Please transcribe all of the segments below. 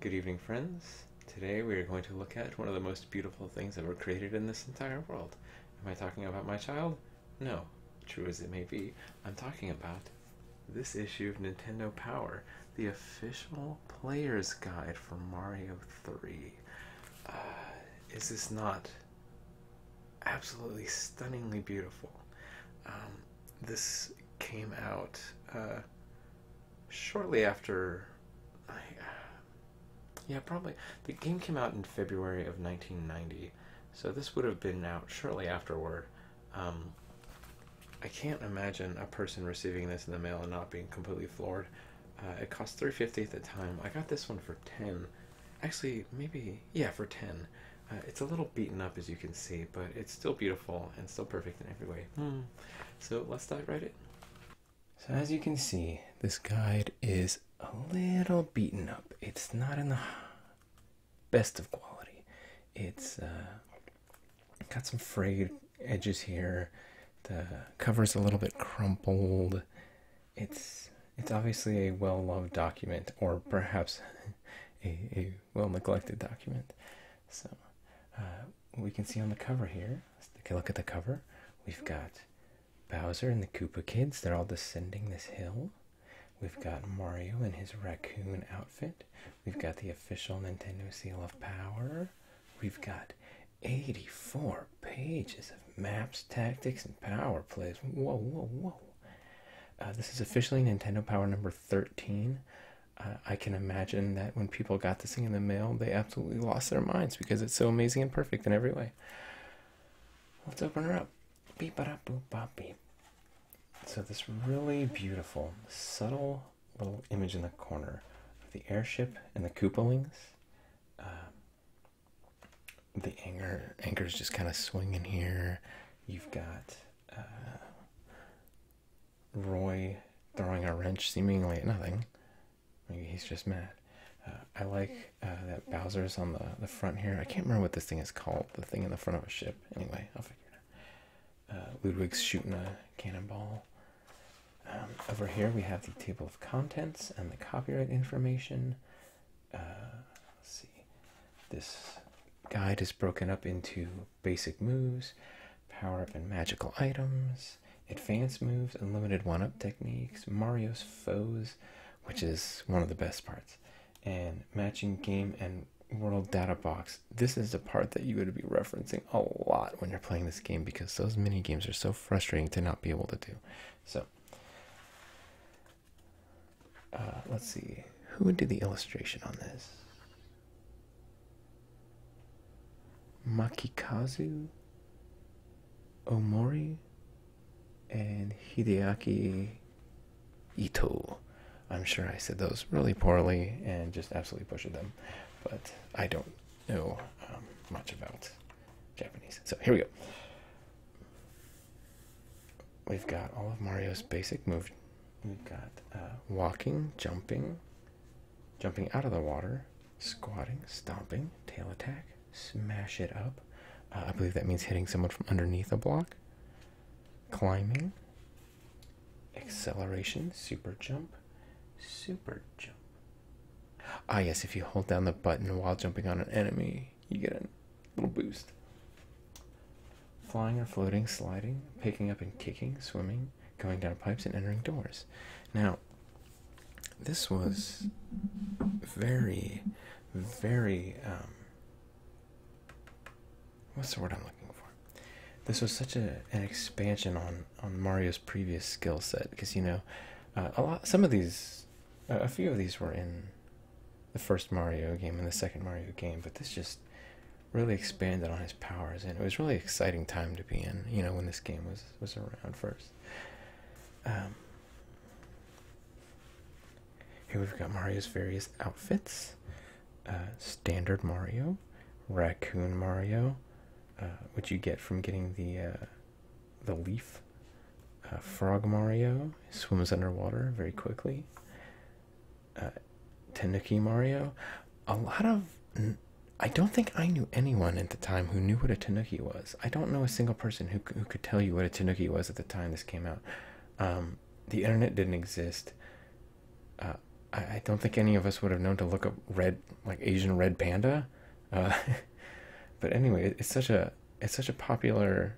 Good evening, friends. Today we are going to look at one of the most beautiful things ever created in this entire world. Am I talking about my child? No, true as it may be, I'm talking about this issue of Nintendo Power, the official player's guide for Mario 3. Uh, is this not absolutely stunningly beautiful? Um, this came out uh, shortly after. Uh, yeah, probably. The game came out in February of 1990, so this would have been out shortly afterward. Um, I can't imagine a person receiving this in the mail and not being completely floored. Uh, it cost three fifty at the time. I got this one for ten. Actually, maybe yeah, for ten. Uh, it's a little beaten up as you can see, but it's still beautiful and still perfect in every way. Hmm. So let's dive right in. So as you can see, this guide is a little beaten up. It's not in the best of quality. It's uh, got some frayed edges here. The cover's a little bit crumpled. It's it's obviously a well loved document, or perhaps a, a well neglected document. So uh, we can see on the cover here. Let's take a look at the cover. We've got Bowser and the Koopa Kids. They're all descending this hill. We've got Mario in his raccoon outfit. We've got the official Nintendo seal of power. We've got 84 pages of maps, tactics, and power plays. Whoa, whoa, whoa. Uh, this is officially Nintendo Power number 13. Uh, I can imagine that when people got this thing in the mail, they absolutely lost their minds because it's so amazing and perfect in every way. Let's open her up. Beep, ba, da, boop, beep. So, this really beautiful, subtle little image in the corner of the airship and the Koopalings. Uh, the anchor anchor's just kind of swinging here. You've got uh, Roy throwing a wrench seemingly at nothing. Maybe he's just mad. Uh, I like uh, that Bowser's on the, the front here. I can't remember what this thing is called. The thing in the front of a ship. Anyway, I'll figure it out. Ludwig's shooting a cannonball. Um, over here we have the table of contents and the copyright information. Uh, see. This guide is broken up into basic moves, power up and magical items, advanced moves, and limited one up techniques, Mario's foes, which is one of the best parts, and matching game and world data box. This is the part that you are going to be referencing a lot when you're playing this game because those mini games are so frustrating to not be able to do. So uh, let's see who would do the illustration on this. Makikazu, Omori, and Hideaki Ito. I'm sure I said those really poorly and just absolutely butchered them, but I don't know um, much about Japanese. So here we go. We've got all of Mario's basic moves. We've got uh, walking, jumping, jumping out of the water, squatting, stomping, tail attack, smash it up. Uh, I believe that means hitting someone from underneath a block, climbing, acceleration, super jump, super jump, Ah, yes, if you hold down the button while jumping on an enemy, you get a little boost. Flying or floating, sliding, picking up and kicking, swimming, going down pipes, and entering doors. Now, this was very, very, um, what's the word I'm looking for? This was such a, an expansion on, on Mario's previous skill set because, you know, uh, a lot, some of these a few of these were in the first Mario game and the second Mario game, but this just really expanded on his powers, and it was really exciting time to be in. You know, when this game was was around first. Um, here we've got Mario's various outfits: uh, standard Mario, raccoon Mario, uh, which you get from getting the uh, the leaf. Uh, Frog Mario swims underwater very quickly. Uh, Tanuki Mario. A lot of. I don't think I knew anyone at the time who knew what a Tanuki was. I don't know a single person who, could tell you what a Tanuki was at the time this came out. Um, the internet didn't exist. Uh, I, don't think any of us would have known to look up red, like Asian red panda. but anyway, it's such a it's such a popular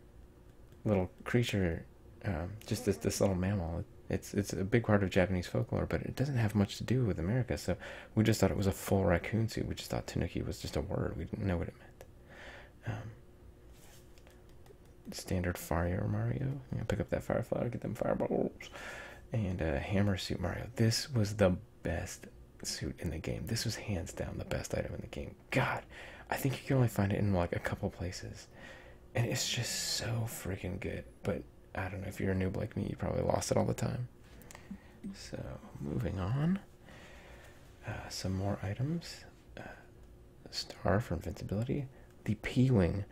little creature. Um, just this little mammal. It's it's a big part of Japanese folklore, but it doesn't have much to do with America. So we just thought it was a full raccoon suit. We just thought tanuki was just a word. We didn't know what it meant. Um, standard fire Mario. pick up that firefly to get them fireballs. And uh, hammer suit Mario. This was the best suit in the game. This was hands down the best item in the game. God, I think you can only find it in like a couple places, and it's just so freaking good. But I don't know if you're a noob like me, you probably lost it all the time. So moving on, uh, some more items. Uh, star for invincibility. The P wing.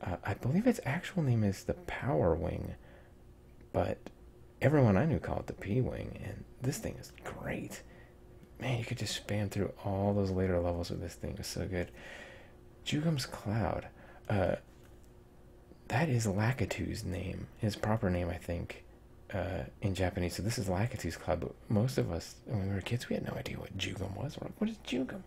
Uh, I believe its actual name is the Power Wing, but everyone I knew called it the P Wing, and this thing is great. Man, you could just spam through all those later levels with this thing. It's so good. Jugum's Cloud. Uh, that is Lakitu's name, his proper name, I think, uh, in Japanese. So this is Lakitu's Cloud, but most of us, when we were kids, we had no idea what Jugum was. We're like, what is Jugum?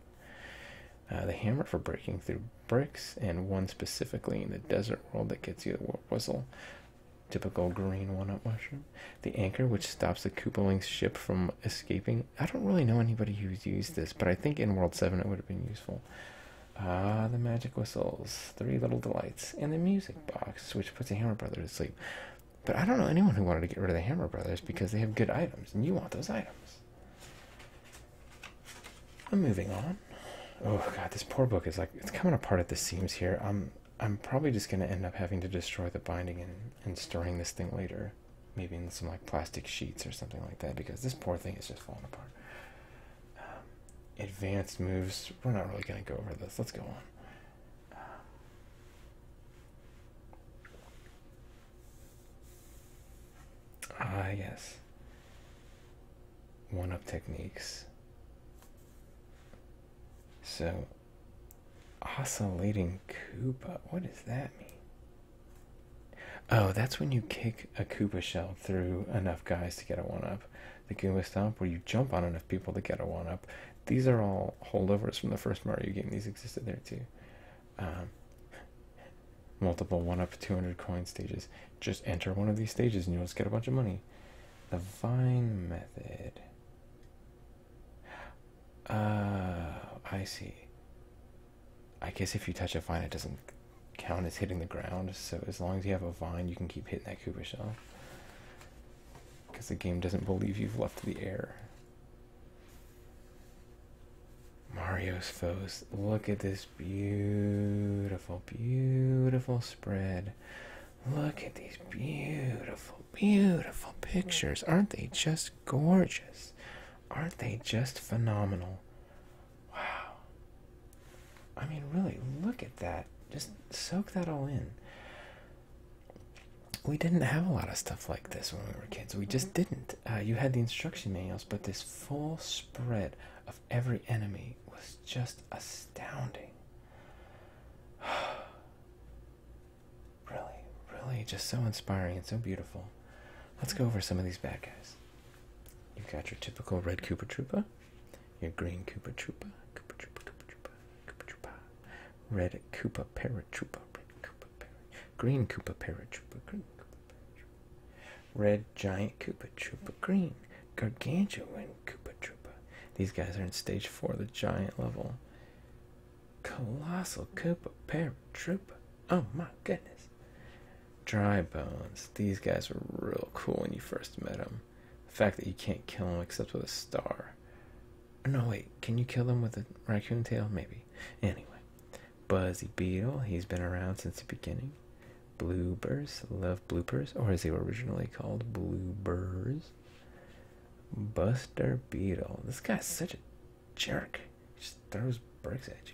Uh, the hammer for breaking through bricks, and one specifically in the desert world that gets you the warp whistle. Typical green walnut mushroom. The anchor which stops the Koopaling's ship from escaping. I don't really know anybody who's used this, but I think in World 7 it would have been useful. Ah, the magic whistles, three little delights, and the music box, which puts the Hammer Brothers to sleep. But I don't know anyone who wanted to get rid of the Hammer Brothers because they have good items, and you want those items. I'm moving on. Oh god, this poor book is like it's coming apart at the seams here. I'm I'm probably just gonna end up having to destroy the binding and, and storing this thing later. Maybe in some like plastic sheets or something like that, because this poor thing is just falling apart. Um, advanced moves. We're not really gonna go over this. Let's go on. Ah, yes. One up techniques. So, oscillating Koopa. What does that mean? Oh, that's when you kick a Koopa shell through enough guys to get a one up. The Goomba Stomp, where you jump on enough people to get a one up. These are all holdovers from the first Mario game. These existed there too. Um, multiple one up 200 coin stages. Just enter one of these stages and you'll just get a bunch of money. The Vine method. Uh, I see. I guess if you touch a vine, it doesn't count as hitting the ground. So as long as you have a vine, you can keep hitting that Koopa shell. Because the game doesn't believe you've left the air. Mario's foes. Look at this beautiful, beautiful spread. Look at these beautiful, beautiful pictures. Aren't they just gorgeous? Aren't they just phenomenal? Wow. I mean, really, look at that. Just soak that all in. We didn't have a lot of stuff like this when we were kids. We just mm-hmm. didn't. Uh, you had the instruction manuals, but this full spread of every enemy was just astounding. really, really just so inspiring and so beautiful. Let's go over some of these bad guys. You've got your typical red Koopa Troopa, your green Koopa Troopa, Koopa Troopa, Koopa Troopa, Koopa Troopa, red Koopa Paratroopa, red Koopa Paratroopa, green Koopa Paratroopa, green Koopa Paratroopa, red giant Koopa Troopa, Green, gargantuan and Koopa Troopa. These guys are in stage four, the giant level. Colossal Koopa Paratroopa. Oh my goodness. Dry Bones. These guys were real cool when you first met them. The fact that you can't kill them except with a star. No, wait. Can you kill them with a raccoon tail? Maybe. Anyway. Buzzy Beetle. He's been around since the beginning bloopers love bloopers or is they originally called bloopers buster beetle this guy's such a jerk he just throws bricks at you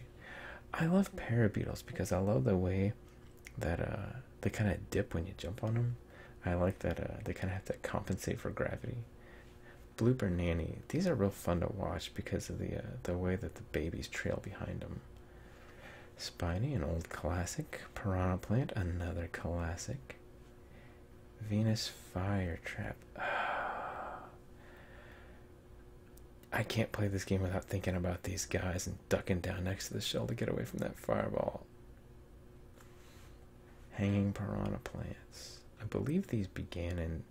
i love parabeetles because i love the way that uh, they kind of dip when you jump on them i like that uh, they kind of have to compensate for gravity blooper nanny these are real fun to watch because of the uh, the way that the babies trail behind them Spiny, an old classic. Piranha Plant, another classic. Venus Fire Trap. I can't play this game without thinking about these guys and ducking down next to the shell to get away from that fireball. Hanging piranha plants. I believe these began in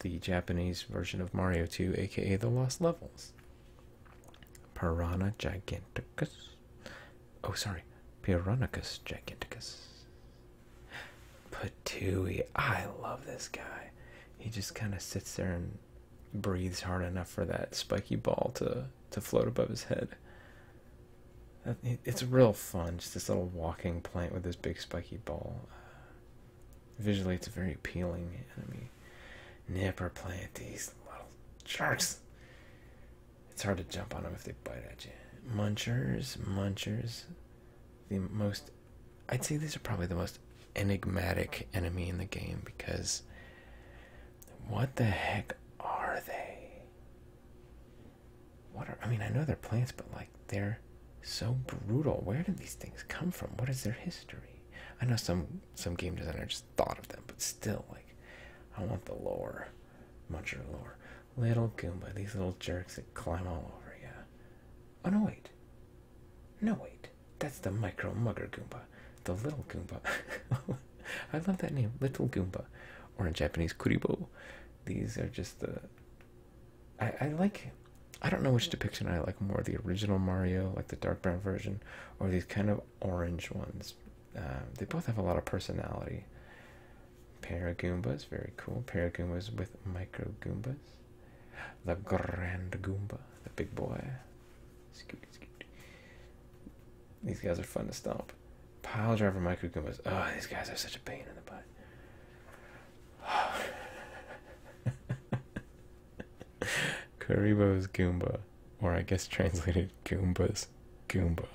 the Japanese version of Mario 2, aka the Lost Levels. Parana giganticus. Oh, sorry, Piranhacus giganticus. Patui, I love this guy. He just kind of sits there and breathes hard enough for that spiky ball to to float above his head. It's real fun, just this little walking plant with this big spiky ball. Visually, it's very appealing, and I Nipper play at these little sharks. It's hard to jump on them if they bite at you. Munchers, munchers. The most, I'd say these are probably the most enigmatic enemy in the game because what the heck are they? What are, I mean, I know they're plants, but like they're so brutal. Where did these things come from? What is their history? I know some some game designer just thought of them, but still, like, I want the lore, much lore. Little Goomba, these little jerks that climb all over you. Oh no, wait. No, wait. That's the micro mugger Goomba. The little Goomba. I love that name, Little Goomba. Or in Japanese, Kuribo. These are just the. I, I like. I don't know which depiction I like more the original Mario, like the dark brown version, or these kind of orange ones. Uh, they both have a lot of personality. Paragoombas, very cool. Paragoombas with micro Goombas. The Grand Goomba, the big boy. These guys are fun to stomp. Pile driver micro Goombas. Oh, these guys are such a pain in the butt. Karibo's Goomba, or I guess translated Goomba's Goomba.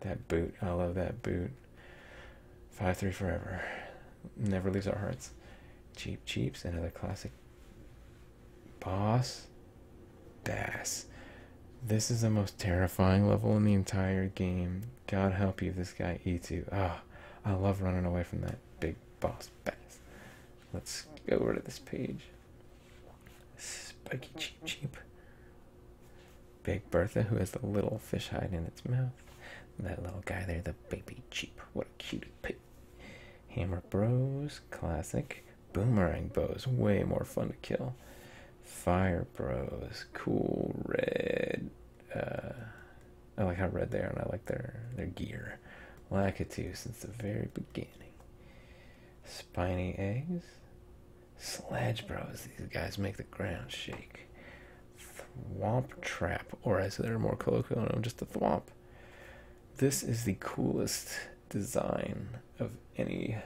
that boot, I love that boot. 5 3 forever. Never leaves our hearts. Cheap Cheeps, another classic. Boss Bass. This is the most terrifying level in the entire game. God help you, if this guy eats you. Ah, oh, I love running away from that big boss bass. Let's go over to this page. Spiky Cheep Cheep. Big Bertha, who has the little fish hide in its mouth. That little guy there, the baby cheap. What a cutie pig. Hammer Bros, classic. Boomerang Bros, way more fun to kill. Fire Bros, cool red. Uh, I like how red they are, and I like their their gear. too since the very beginning. Spiny eggs. Sludge Bros. These guys make the ground shake. Swamp Trap, or as they're more colloquial known, just a thwomp. This is the coolest design of any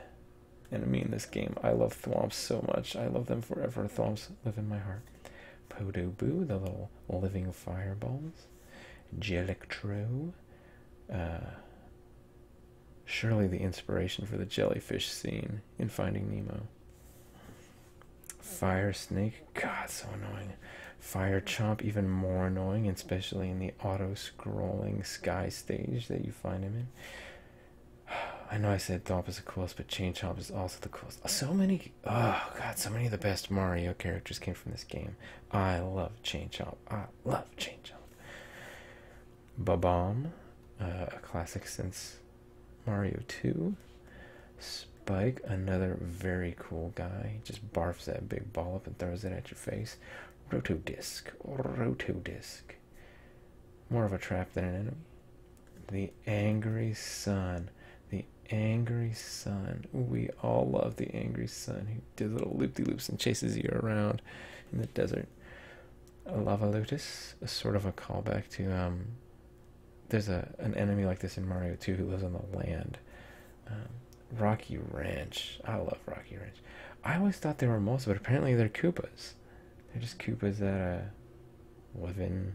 enemy in this game. I love thwomps so much. I love them forever. Thwomps live in my heart. Podo Boo, the little living fireballs. Jellictro, uh, surely the inspiration for the jellyfish scene in Finding Nemo. Fire Snake, God, so annoying. Fire Chomp, even more annoying, especially in the auto scrolling sky stage that you find him in. I know I said Thomp is the coolest, but Chain Chomp is also the coolest. So many, oh god, so many of the best Mario characters came from this game. I love Chain Chomp love Jane Jones. Babam, uh, a classic since Mario 2. Spike, another very cool guy, just barfs that big ball up and throws it at your face. Rotodisc, Rotodisc. More of a trap than an enemy. The Angry Sun. The Angry Sun. We all love the Angry Sun do little loop de loops and chases you around in the desert. A lava lotus is sort of a callback to um there's a an enemy like this in Mario 2 who lives on the land. Um, Rocky Ranch. I love Rocky Ranch. I always thought they were most, but apparently they're Koopas. They're just Koopas that uh live in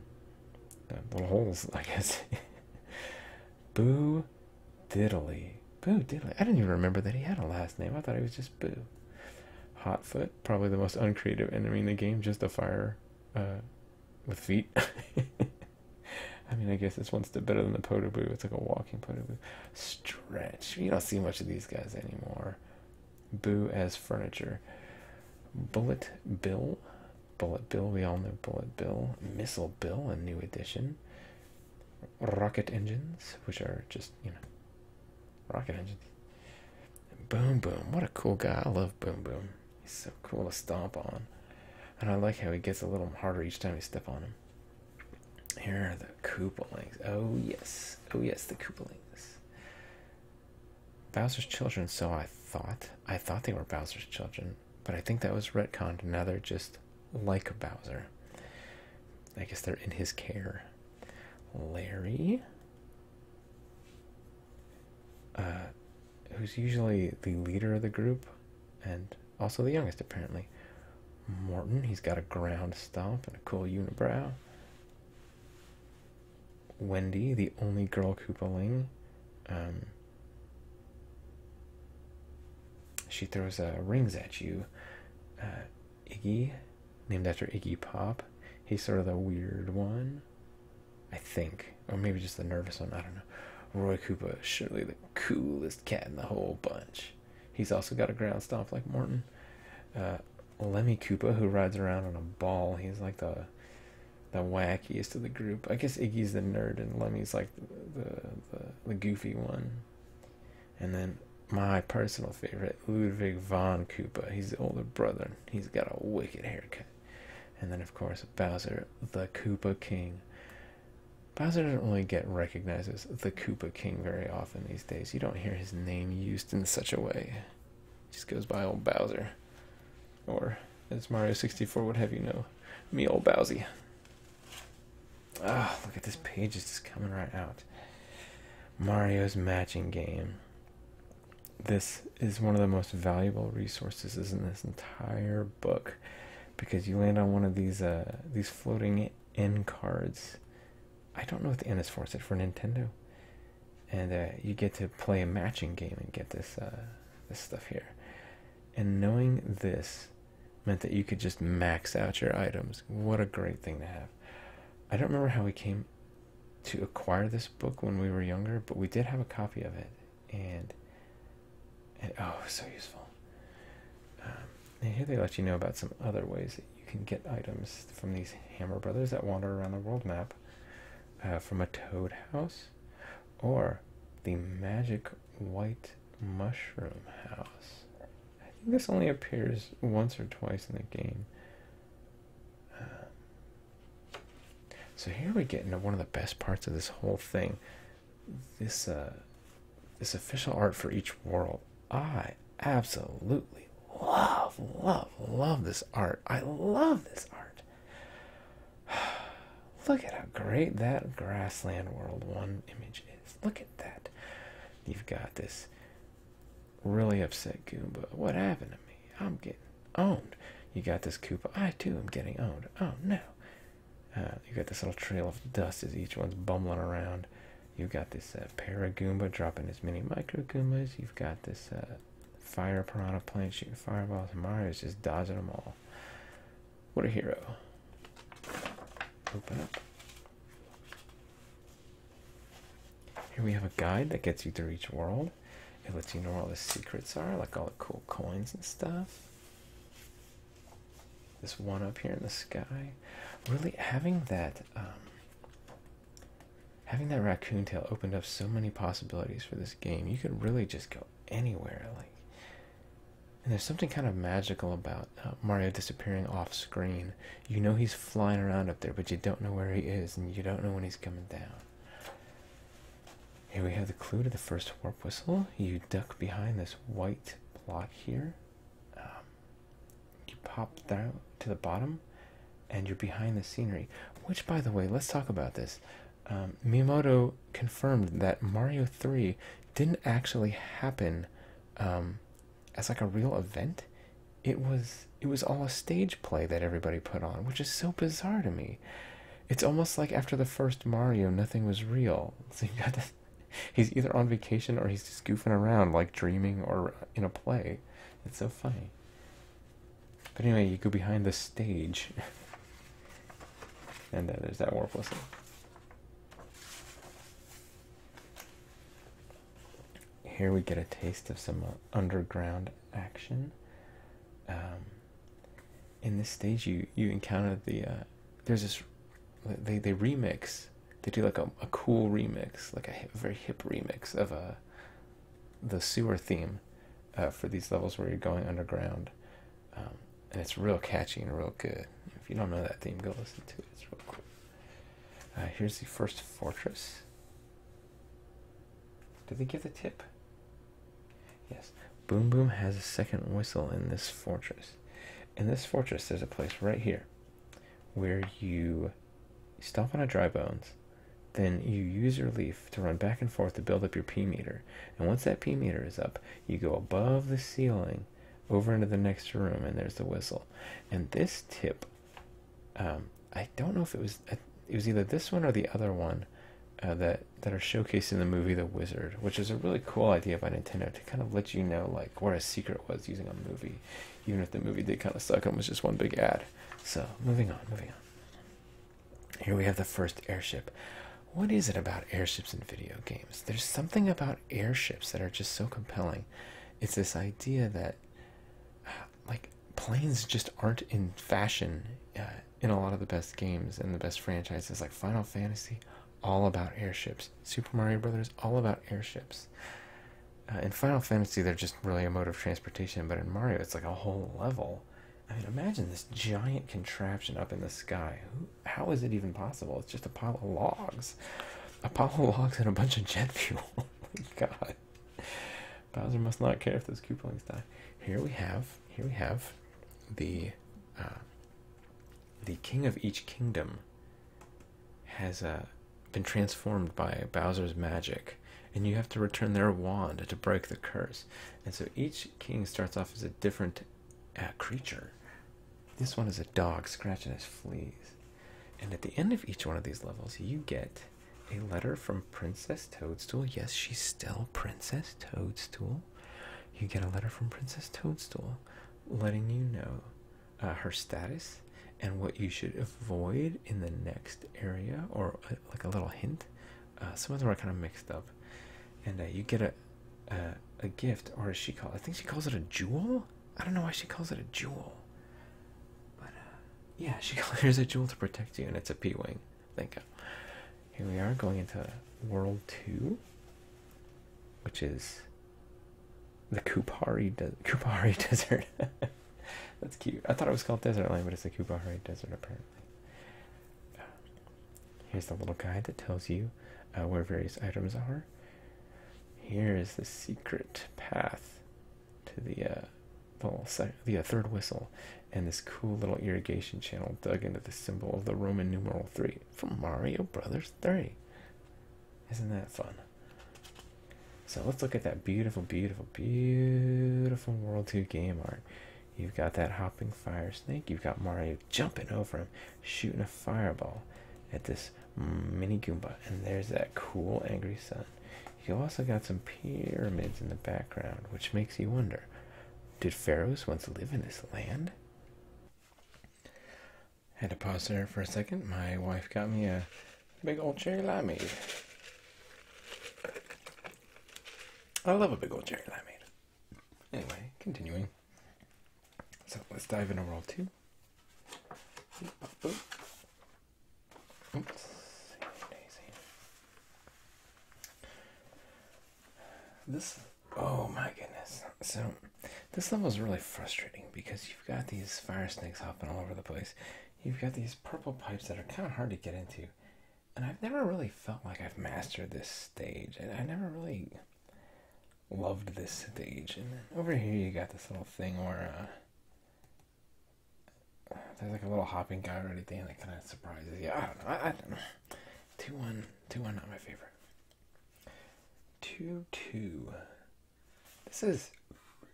uh, little holes, I guess. Boo diddly, Boo diddly. I didn't even remember that he had a last name. I thought he was just Boo. Hotfoot, probably the most uncreative enemy in the game, just a fire uh, with feet. I mean, I guess this one's better than the boo. It's like a walking boo. Stretch. You don't see much of these guys anymore. Boo as furniture. Bullet Bill. Bullet Bill. We all know Bullet Bill. Missile Bill, a new edition rocket engines, which are just, you know, rocket engines. Boom Boom, what a cool guy. I love Boom Boom. He's so cool to stomp on. And I like how he gets a little harder each time you step on him. Here are the Koopalings. Oh, yes. Oh, yes, the Koopalings. Bowser's children, so I thought. I thought they were Bowser's children, but I think that was retconned, and now they're just like Bowser. I guess they're in his care. Larry, uh, who's usually the leader of the group and also the youngest, apparently. Morton, he's got a ground stump and a cool unibrow. Wendy, the only girl Koopaling. Um, she throws uh, rings at you. Uh, Iggy, named after Iggy Pop. He's sort of the weird one, I think. Or maybe just the nervous one, I don't know. Roy Koopa, surely the coolest cat in the whole bunch. He's also got a ground stomp like Morton. Uh, Lemmy Koopa, who rides around on a ball, he's like the the wackiest of the group. I guess Iggy's the nerd and Lemmy's like the, the goofy one. And then my personal favorite, Ludwig von Koopa. He's the older brother. He's got a wicked haircut. And then, of course, Bowser, the Koopa King. Bowser doesn't really get recognized as the Koopa King very often these days. You don't hear his name used in such a way. He just goes by old Bowser. Or, as Mario 64 would have you know, me old Bowsy. Oh, look at this page. It's coming right out. Mario's matching game. This is one of the most valuable resources in this entire book because you land on one of these uh, these floating N cards. I don't know what the N is for. Is it for Nintendo? And uh, you get to play a matching game and get this uh, this stuff here. And knowing this meant that you could just max out your items. What a great thing to have. I don't remember how we came to acquire this book when we were younger, but we did have a copy of it. And, and oh, so useful. Um, and here they let you know about some other ways that you can get items from these Hammer Brothers that wander around the world map uh, from a toad house or the magic white mushroom house. I think this only appears once or twice in the game. Um, so here we get into one of the best parts of this whole thing. This uh, this official art for each world. I absolutely love, love, love this art. I love this art. Look at how great that grassland world one image is. Look at that. You've got this really upset Goomba. What happened to me? I'm getting owned. You got this Koopa. I too am getting owned. Oh no. Uh, you got this little trail of dust as each one's bumbling around. You've got this uh, pair of Goomba dropping as many Micro Goombas. You've got this uh, Fire Piranha plant shooting fireballs. Mario's just dodging them all. What a hero. Open up. Here we have a guide that gets you through each world. It lets you know where all the secrets are, like all the cool coins and stuff. This one up here in the sky. Really having that um, having that raccoon tail opened up so many possibilities for this game. You could really just go anywhere. Like and there's something kind of magical about uh, Mario disappearing off screen. You know he's flying around up there, but you don't know where he is, and you don't know when he's coming down. Here we have the clue to the first warp whistle. You duck behind this white block here. Um, you pop down to the bottom, and you're behind the scenery. Which, by the way, let's talk about this. Um, Miyamoto confirmed that Mario 3 didn't actually happen um, as like a real event. It was it was all a stage play that everybody put on, which is so bizarre to me. It's almost like after the first Mario, nothing was real. So he's either on vacation or he's just goofing around, like dreaming or uh, in a play. It's so funny. But anyway, you go behind the stage, and uh, there's that warp whistle. Here we get a taste of some uh, underground action. Um, in this stage, you you encounter the uh, there's this they they remix they do like a, cool remix like a very hip remix of a uh, the sewer theme for these levels where you're going underground. Um, and it's real catchy and real good. If you don't know that theme, go listen to it. It's real cool. here's the first fortress. Did they give the tip? Yes. Boom Boom has a second whistle in this fortress. In this fortress, there's a place right here where you stop on a dry bones, then you use your leaf to run back and forth to build up your P meter. And once that P meter is up, you go above the ceiling over into the next room and there's the whistle and this tip um, i don't know if it was uh, it was either this one or the other one uh, that that are showcased in the movie the wizard which is a really cool idea by nintendo to kind of let you know like where a secret was using a movie even if the movie did kind of suck and was just one big ad so moving on moving on here we have the first airship what is it about airships in video games there's something about airships that are just so compelling. It's this idea that, uh, like, planes just aren't in fashion uh, in a lot of the best games and the best franchises, like Final Fantasy, all about airships. Super Mario Brothers, all about airships. Uh, in Final Fantasy, they're just really a mode of transportation, but in Mario, it's like a whole level. I mean, imagine this giant contraption up in the sky how is it even possible? It's just a pile of logs, a pile of logs and a bunch of jet fuel. Oh God, Bowser must not care if those couplings die. Here we have, here we have, the, uh, the king of each kingdom. Has uh, been transformed by Bowser's magic, and you have to return their wand to break the curse. And so each king starts off as a different a creature. This one is a dog scratching his fleas. And at the end of each one of these levels, you get a letter from Princess Toadstool. Yes, she's still Princess Toadstool. You get a letter from Princess Toadstool letting you know uh, her status and what you should avoid in the next area, or uh, like a little hint. Uh, some of them are kind of mixed up. And you get a, a, gift, or as she called? I think she calls it a jewel? I don't know why she calls it a jewel. But, uh, yeah, she there's a jewel to protect you, and it's a P Wing. Thank you. Here we are going into World 2, which is the Kupari, Kupari Desert. That's cute. I thought it was called Desert Land, but it's the Kupari Desert, apparently. Here's the little guide that tells you uh, where various items are. Here is the secret path to the uh, uh, third whistle, and this cool little irrigation channel dug into the symbol of the Roman numeral three from Mario Brothers Three. Isn't that fun? So let's look at that beautiful, beautiful, beautiful World 2 game art. You've got that hopping fire snake. You've got Mario jumping over him, shooting a fireball at this Mini Goomba, and there's that cool angry sun. You also got some pyramids in the background, which makes you wonder did pharaohs once live in this land? Had to pause there for a second. My wife got me a big old cherry limeade. I love a big old cherry limeade. Anyway, continuing. So let's dive into roll two. This, oh my goodness. So, this level is really frustrating because you've got these fire snakes hopping all over the place. You've got these purple pipes that are kind of hard to get into. And I've never really felt like I've mastered this stage. And I never really loved this stage. And over here, you got this little thing where uh, there's like a little hopping guy or anything that kind of surprises you. I don't know. I, don't know. 2 1, 2 1, not my favorite. 2 2. This is.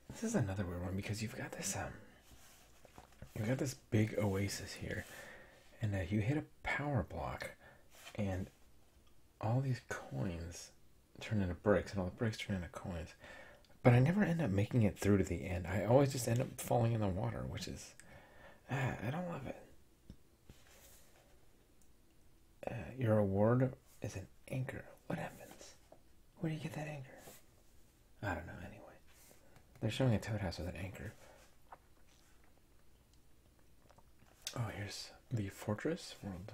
This is another weird one because you've got this um you've got this big oasis here and uh, you hit a power block and all these coins turn into bricks and all the bricks turn into coins. But I never end up making it through to the end. I always just end up falling in the water, which is. Ah, I don't love it. Uh, your award is an anchor. What happens? Where do you get that anchor? I don't know, anyway. They're showing a toad house with an anchor. Oh, here's the fortress world.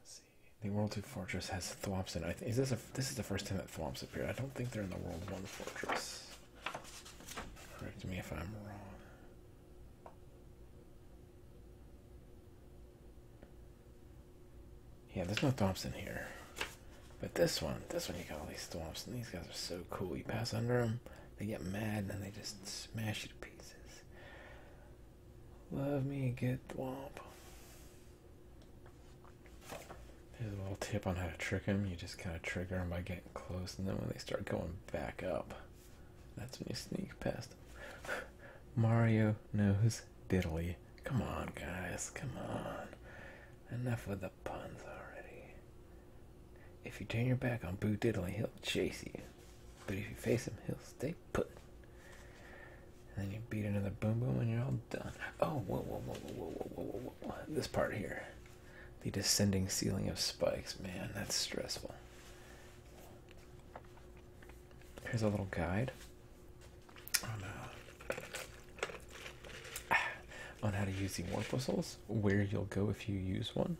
Let's see, the world two fortress has Thwops in it. Is this a, this is the first time that Thwops appeared. I don't think they're in the world one fortress. Correct me if I'm wrong. Yeah, there's no Thwops here. But this one, this one, you got all these Thwops, these guys are so cool. You pass under them, they get mad, and they just smash you to pieces. Love me, get thwomp. There's a little tip on how to trick them. You just kind of trigger them by getting close, and then when they start going back up, that's when you sneak past them. Mario knows diddly. Come on, guys, come on. Enough with the puns already. If you turn your back on Boo Diddly, he'll chase you. But if you face him, he'll stay put. And then you beat another boom boom and you're all done. Oh, whoa, whoa, whoa, whoa, whoa, whoa, whoa, whoa. This part here. The descending ceiling of spikes. Man, that's stressful. Here's a little guide on, uh, how to use the warp whistles, where you'll go if you use one,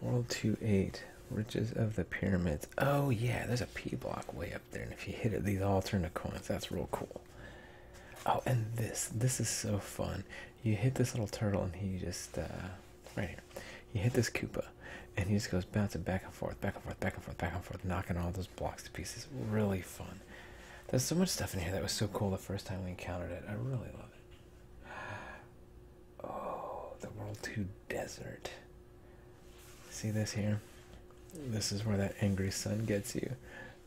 World 2-8, Riches of the Pyramids. Oh yeah, there's a P block way up there, and if you hit it, these all turn to coins. That's real cool. Oh, and this, this is so fun. You hit this little turtle, and he just, uh, right here, you hit this Koopa, and he just goes bouncing back and forth, back and forth, back and forth, back and forth, knocking all those blocks to pieces. Really fun. There's so much stuff in here that was so cool the first time we encountered it. I really love it. Oh, the World 2 Desert. See this here? This is where that angry sun gets you.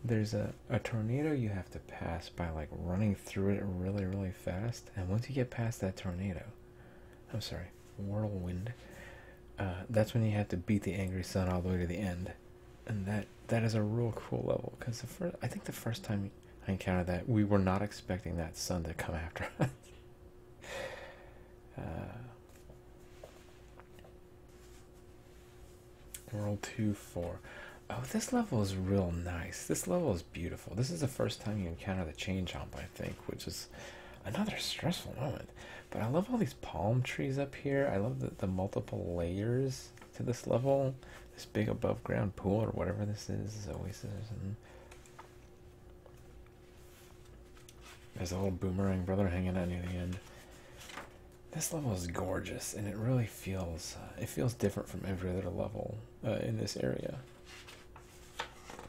There's a, a tornado you have to pass by like running through it really, really fast. And once you get past that tornado, I'm sorry, whirlwind, uh, that's when you have to beat the angry sun all the way to the end and that that is a real cool level because the first I think the first time I encountered that we were not expecting that sun to come after us. Uh, world 2 4. Oh, this level is real nice. This level is beautiful. This is the first time you encounter the change jump I think, which is another stressful moment. But I love all these palm trees up here. I love the, the multiple layers to this level. This big above ground pool or whatever this is, this oasis There's a little boomerang brother hanging out near the end. This level is gorgeous, and it really feels uh, it feels different from every other level uh, in this area.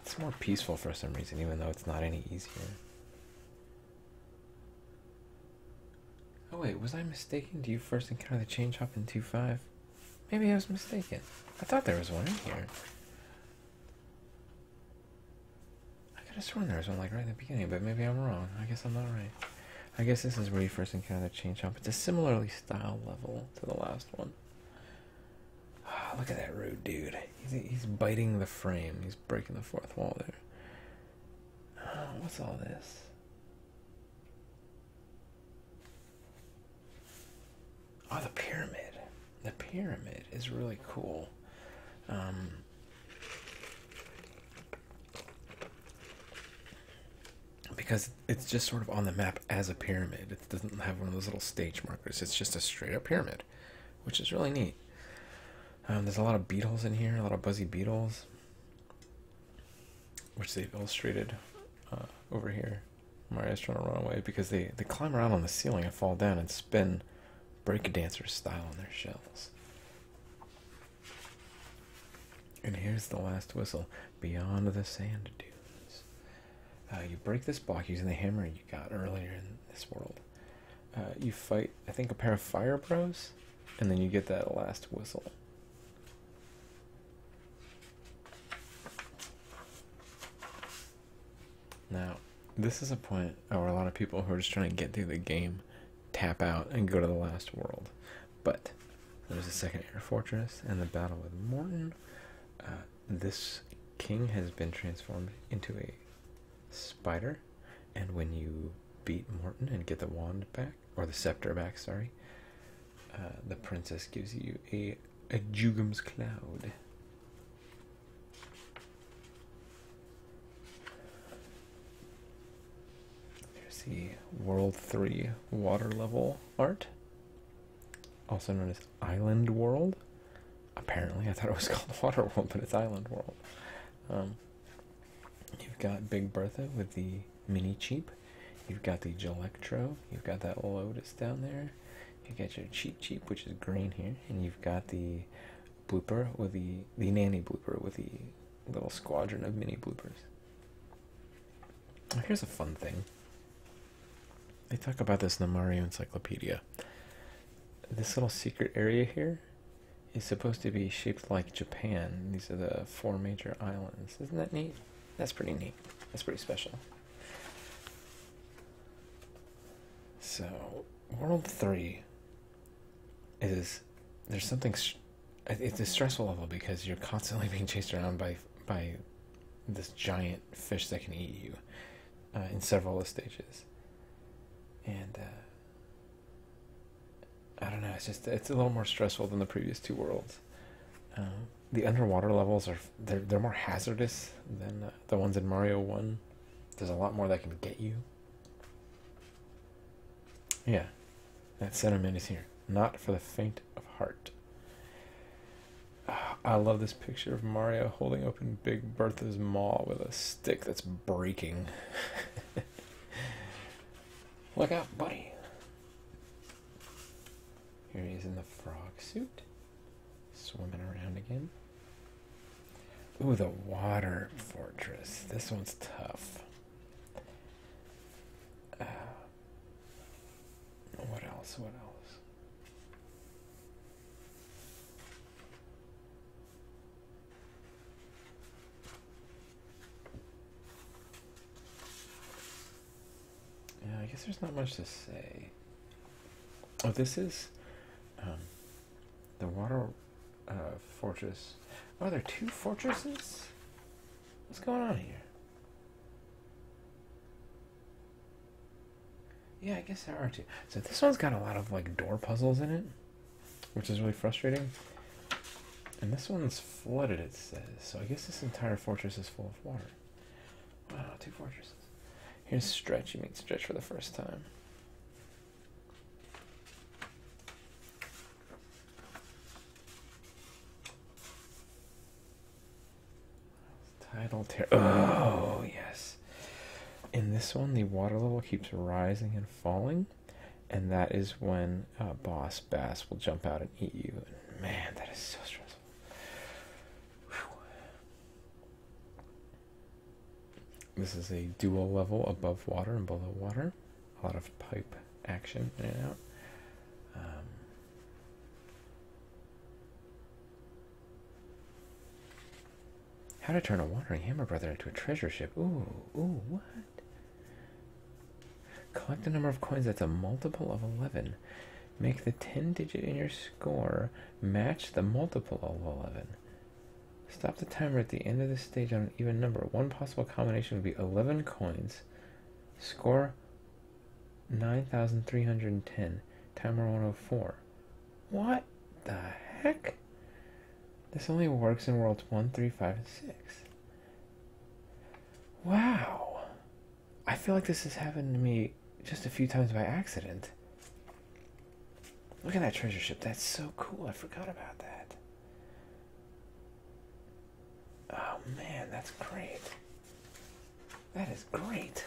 It's more peaceful for some reason, even though it's not any easier. Oh wait, was I mistaken? Do you first encounter the chain shop in five? Maybe I was mistaken. I thought there was one in here. I could have sworn there was one like right in the beginning, but maybe I'm wrong. I guess I'm not right. I guess this is where you first encounter the chain shop. It's a similarly style level to the last one. Oh, look at that rude dude. he's biting the frame. He's breaking the fourth wall there. Oh, what's all this? Oh, the pyramid. The pyramid is really cool. Um, because it's just sort of on the map as a pyramid. It doesn't have one of those little stage markers. It's just a straight up pyramid, which is really neat. Um, there's a lot of beetles in here, a lot of buzzy beetles which they've illustrated uh, over here. Maria's trying to run away because they, they climb around on the ceiling and fall down and spin breakdancer style on their shells. And here's the last whistle beyond the sand dunes. Uh, you break this block using the hammer you got earlier in this world. Uh, you fight, I think, a pair of fire pros, and then you get that last whistle. Now, this is a point where a lot of people who are just trying to get through the game tap out and go to the last world. But there's a second air fortress and the battle with Morton. Uh, this king has been transformed into a spider and when you beat Morton and get the wand back, or the scepter back, sorry, uh, the princess gives you a, a Jugum's Cloud. There's the World 3 water level art, also known as Island World. Apparently, I thought it was called Water World, but it's Island World. Um, You've got Big Bertha with the mini cheap. You've got the Gelectro. You've got that Lotus down there. You got your cheap cheap, which is green here, and you've got the blooper with the the nanny blooper with the little squadron of mini bloopers. Here's a fun thing. They talk about this in the Mario Encyclopedia. This little secret area here is supposed to be shaped like Japan. These are the four major islands. Isn't that neat? That's pretty neat. That's pretty special. So, World 3 is there's something it's a stressful level because you're constantly being chased around by by this giant fish that can eat you uh, in several stages. And uh, I don't know. It's just it's a little more stressful than the previous two worlds. Um, the underwater levels are they're they're more hazardous than the ones in Mario One. There's a lot more that can get you. Yeah, that sentiment is here. Not for the faint of heart. Ah, I love this picture of Mario holding open Big Bertha's maw with a stick that's breaking. Look out, buddy. Here he is in the frog suit, swimming around again. Ooh, the water fortress. This one's tough. Uh, what else? What else? Yeah, I guess there's not much to say. Oh, this is um, the water uh, fortress. Oh, are there two fortresses? What's going on here? Yeah, I guess there are two. So this one's got a lot of like door puzzles in it which is really frustrating. And this one's flooded, it says. So I guess this entire fortress is full of water. Wow, two fortresses. Here's Stretch. You meet Stretch for the first time. Tidal Terror. Oh, yes. In this one, the water level keeps rising and falling and that is when uh, boss bass will jump out and eat you. man, that is so stressful. This is a dual level above water and below water. A lot of pipe action in and out. Um, how to turn a wandering hammer brother into a treasure ship. Ooh, ooh, what? Collect the number of coins that's a multiple of 11. Make the 10 digit in your score match the multiple of 11. Stop the timer at the end of the stage on an even number. One possible combination would be 11 coins. Score 9,310. Timer 104. What the heck? This only works in worlds 1, 3, 5, and 6. Wow. I feel like this has happened to me just a few times by accident. Look at that treasure ship. That's so cool. I forgot about that. Oh man, that's great. That is great.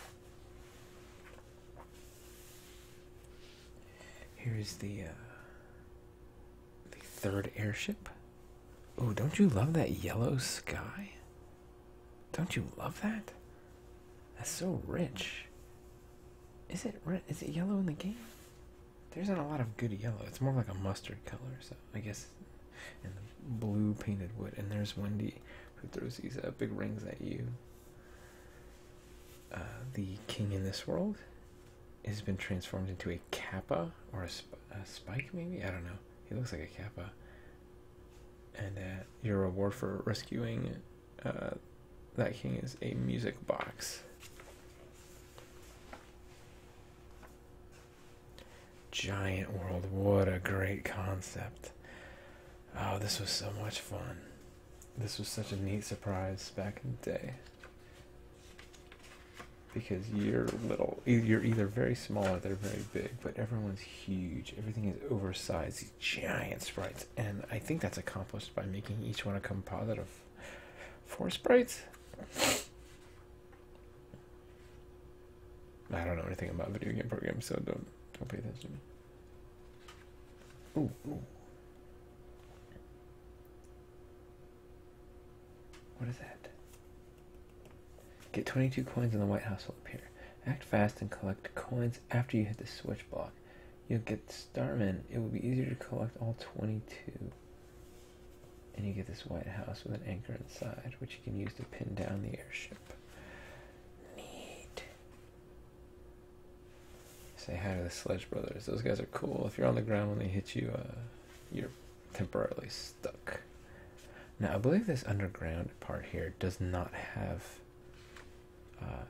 Here's the uh, the third airship. Oh, don't you love that yellow sky? Don't you love that? That's so rich. Is it red? Is it yellow in the game? There's not a lot of good yellow. It's more like a mustard color, so I guess. blue painted wood. And there's Wendy, who throws these uh, big rings at you. Uh, the king in this world has been transformed into a kappa or a, spike, maybe? I don't know. He looks like a kappa. And uh, your reward for rescuing uh, that king is a music box. Giant world, what a great concept! Oh, this was so much fun. This was such a neat surprise back in the day because you're little. You're either very small or they're very big, but everyone's huge. Everything is oversized, these giant sprites. And I think that's accomplished by making each one a composite of four sprites. I don't know anything about video game programs, so don't don't pay attention what is that? Get 22 coins and the White House will appear. Act fast and collect coins after you hit the switch block. You'll get Starman. It will be easier to collect all 22. And you get this White House with an anchor inside, which you can use to pin down the airship. Neat. Say hi to the Sledge Brothers. Those guys are cool. If you're on the ground when they hit you, uh, you're temporarily stuck. Now, I believe this underground part here does not have uh,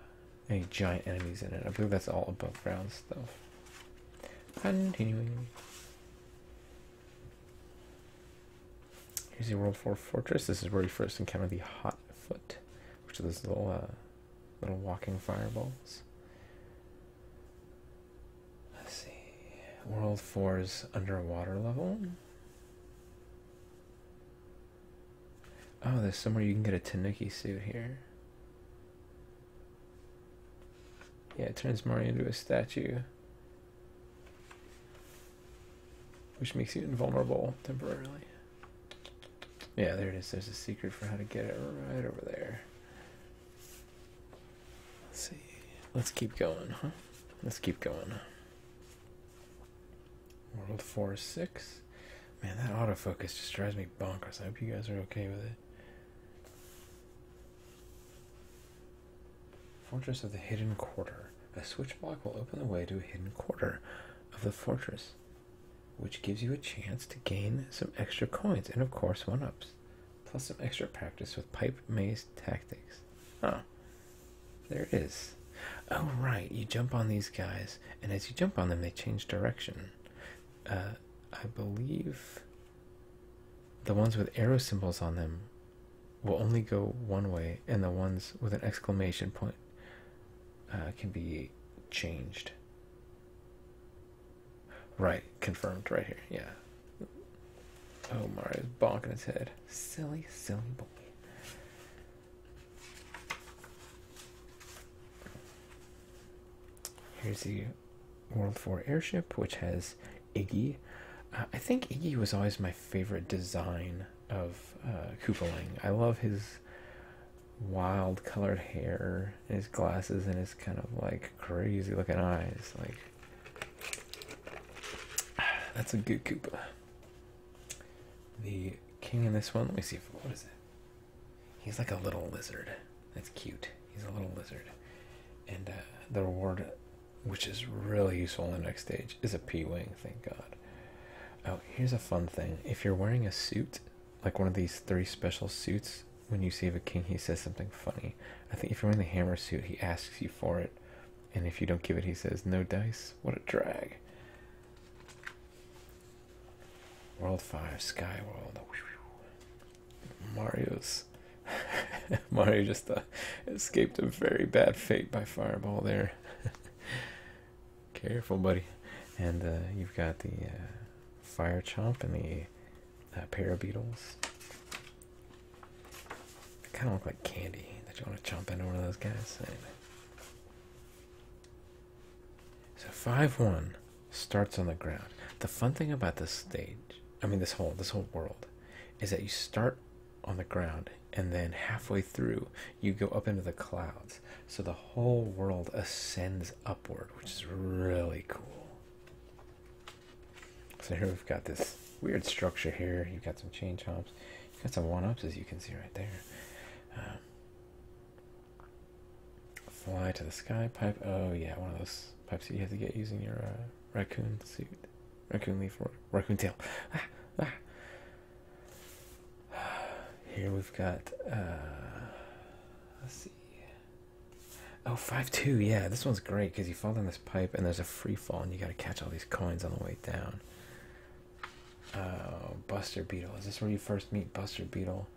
any giant enemies in it. I believe that's all above ground stuff. Continuing. Here's the World 4 Fortress. This is where you first encounter the Hot Foot, which are those little, uh, little walking fireballs. Let's see. World Four is underwater level. Oh, there's somewhere you can get a Tanuki suit here. Yeah, it turns Mario into a statue. Which makes you invulnerable temporarily. Yeah, there it is. There's a secret for how to get it right over there. Let's see. Let's keep going, huh? Let's keep going. World 4 6. Man, that autofocus just drives me bonkers. I hope you guys are okay with it. Fortress of the Hidden Quarter. A switch block will open the way to a hidden quarter of the fortress, which gives you a chance to gain some extra coins and, of course, one ups plus some extra practice with pipe maze tactics. Huh. There it is. Oh, right, you jump on these guys, and as you jump on them, they change direction. Uh, I believe the ones with arrow symbols on them will only go one way, and the ones with an exclamation point uh, can be changed. Right, confirmed right here. Yeah. Oh, is bonking his head. Silly, silly boy. Here's the World 4 airship, which has Iggy. Uh, I think Iggy was always my favorite design of uh, I love his wild colored hair his glasses and his kind of like crazy looking eyes. Like that's a good Koopa. The king in this one. Let me see if what is it. He's like a little lizard. That's cute. He's a little lizard, and uh, the reward, which is really useful in the next stage, is a P wing. Thank God. Oh, here's a fun thing. If you're wearing a suit, like one of these three special suits. When you save a king, he says something funny. I think if you're in the hammer suit, he asks you for it, and if you don't give it, he says, No dice. What a drag. World 5, Sky World. Mario's. Mario just uh, escaped a very bad fate by fireball there. Careful, buddy. And uh, you've got the uh, fire chomp and the a uh, pair of beetles. They kind of look like candy. Did you want to jump into one of those guys? So five one starts on the ground. The fun thing about this stage, I mean this whole this whole world, is that you start on the ground and then halfway through you go up into the clouds. So the whole world ascends upward, which is really cool. So here we've got this weird structure here. You've got some chain chops. You've got some one-ups as you can see right there. Um, fly to the sky pipe. Oh yeah, one of those pipes that you have to get using your uh, raccoon suit, raccoon leaf, raccoon tail. Ah, ah. Here we've got. Uh, let's see. Oh, 5-2, yeah, this one's great because you fall down this pipe and there's a free fall and you gotta catch all these coins on the way down. Oh, Buster Beetle. Is this where you first meet Buster Beetle?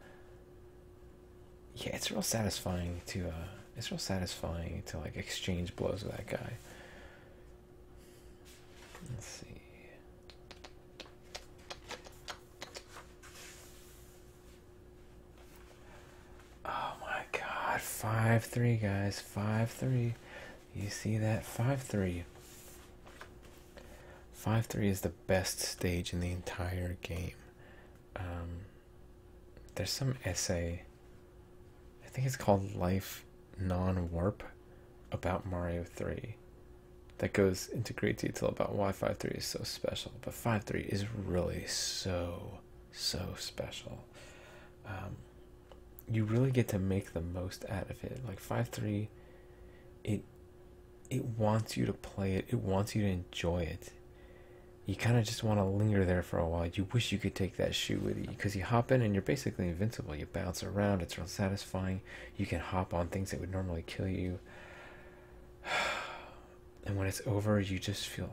Yeah, it's real satisfying to, uh, it's real satisfying to, like, exchange blows with that guy. Let's see. Oh my god, 5 3, guys. 5 3. You see that? 5 3. 5 3 is the best stage in the entire game. Um, there's some essay, I think it's called Life Non Warp, about Mario 3 that goes into great detail about why 5 3 is so special but five three is really so so special. Um, you really get to make the most out of it. Like five three, it it wants you to play it. It wants you to enjoy it. You kind of just want to linger there for a while. You wish you could take that shoe with you because you hop in and you're basically invincible. You bounce around. It's real satisfying. You can hop on things that would normally kill you. and when it's over, you just feel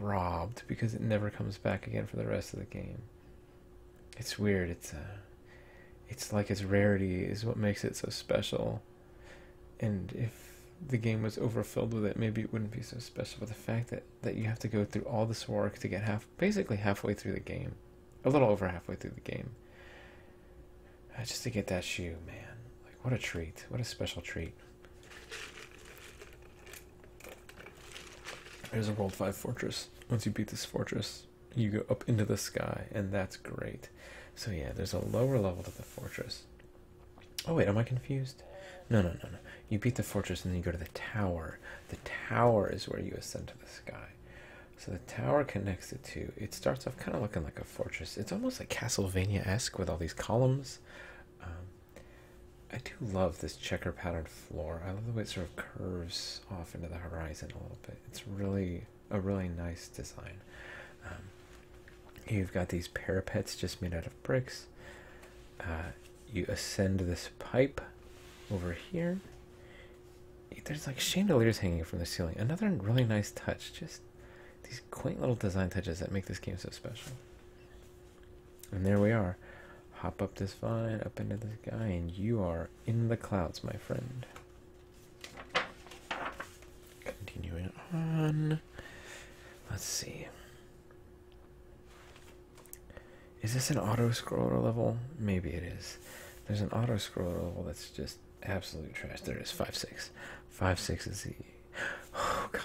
robbed because it never comes back again for the rest of the game. It's weird. It's uh, it's like its rarity is what makes it so special. And if the game was overfilled with it, maybe it wouldn't be so special. But the fact that that you have to go through all this work to get half, basically halfway through the game, a little over halfway through the game, uh, just to get that shoe, man. Like what a treat! What a special treat. There's a World 5 fortress. Once you beat this fortress, you go up into the sky, and that's great. So, yeah, there's a lower level to the fortress. Oh, wait, am I confused? No, no, no, no. You beat the fortress, and then you go to the tower. The tower is where you ascend to the sky. So, the tower connects the two. It starts off kind of looking like a fortress. It's almost like Castlevania esque with all these columns. Um, I do love this checker patterned floor. I love the way it sort of curves off into the horizon a little bit. It's really a really nice design. Um, you've got these parapets just made out of bricks. Uh, you ascend this pipe over here. There's like chandeliers hanging from the ceiling. Another really nice touch. Just these quaint little design touches that make this game so special. And there we are. Hop up this vine, up into the sky, and you are in the clouds, my friend. Continuing on. Let's see. Is this an auto scroll level? Maybe it is. There's an auto scroll level that's just absolute trash. There it is, 5 6. 5 6 is the Oh god.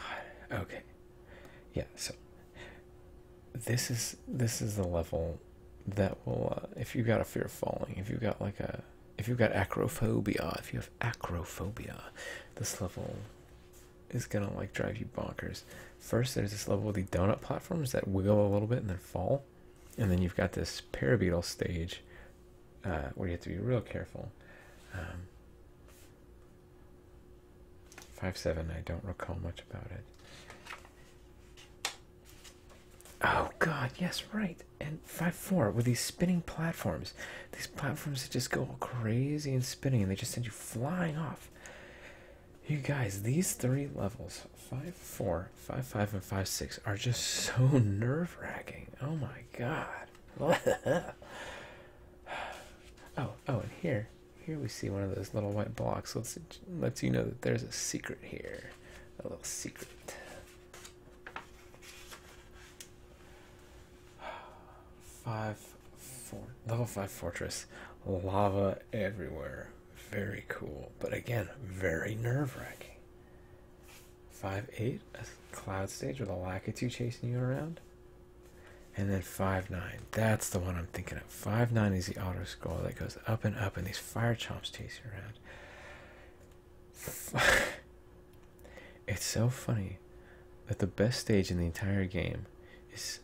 Okay. Yeah, so this is this is the level that will uh, if you've got a fear of falling, if you've got like a if you've got acrophobia, if you have acrophobia, this level is gonna like drive you bonkers. First there's this level with the donut platforms that wiggle a little bit and then fall. And then you've got this parabeetle stage uh, where you have to be real careful. Um, Five seven. I don't recall much about it. Oh God, yes, right. And five four with these spinning platforms. These platforms that just go crazy and spinning, and they just send you flying off. You guys, these three levels five four, five five, and five six are just so nerve wracking. Oh my God. Oh, oh, and here, here we see one of those little white blocks. Let's lets you know that there's a secret here, a little secret. Five, four, level five fortress, lava everywhere. Very cool, but again, very nerve-wracking. Five eight, a cloud stage with a two chasing you around and then 5 9. That's the one I'm thinking of. 5 9 is the auto that goes up and up, and these fire chomps chase you around. it's so funny that the best stage in the entire game is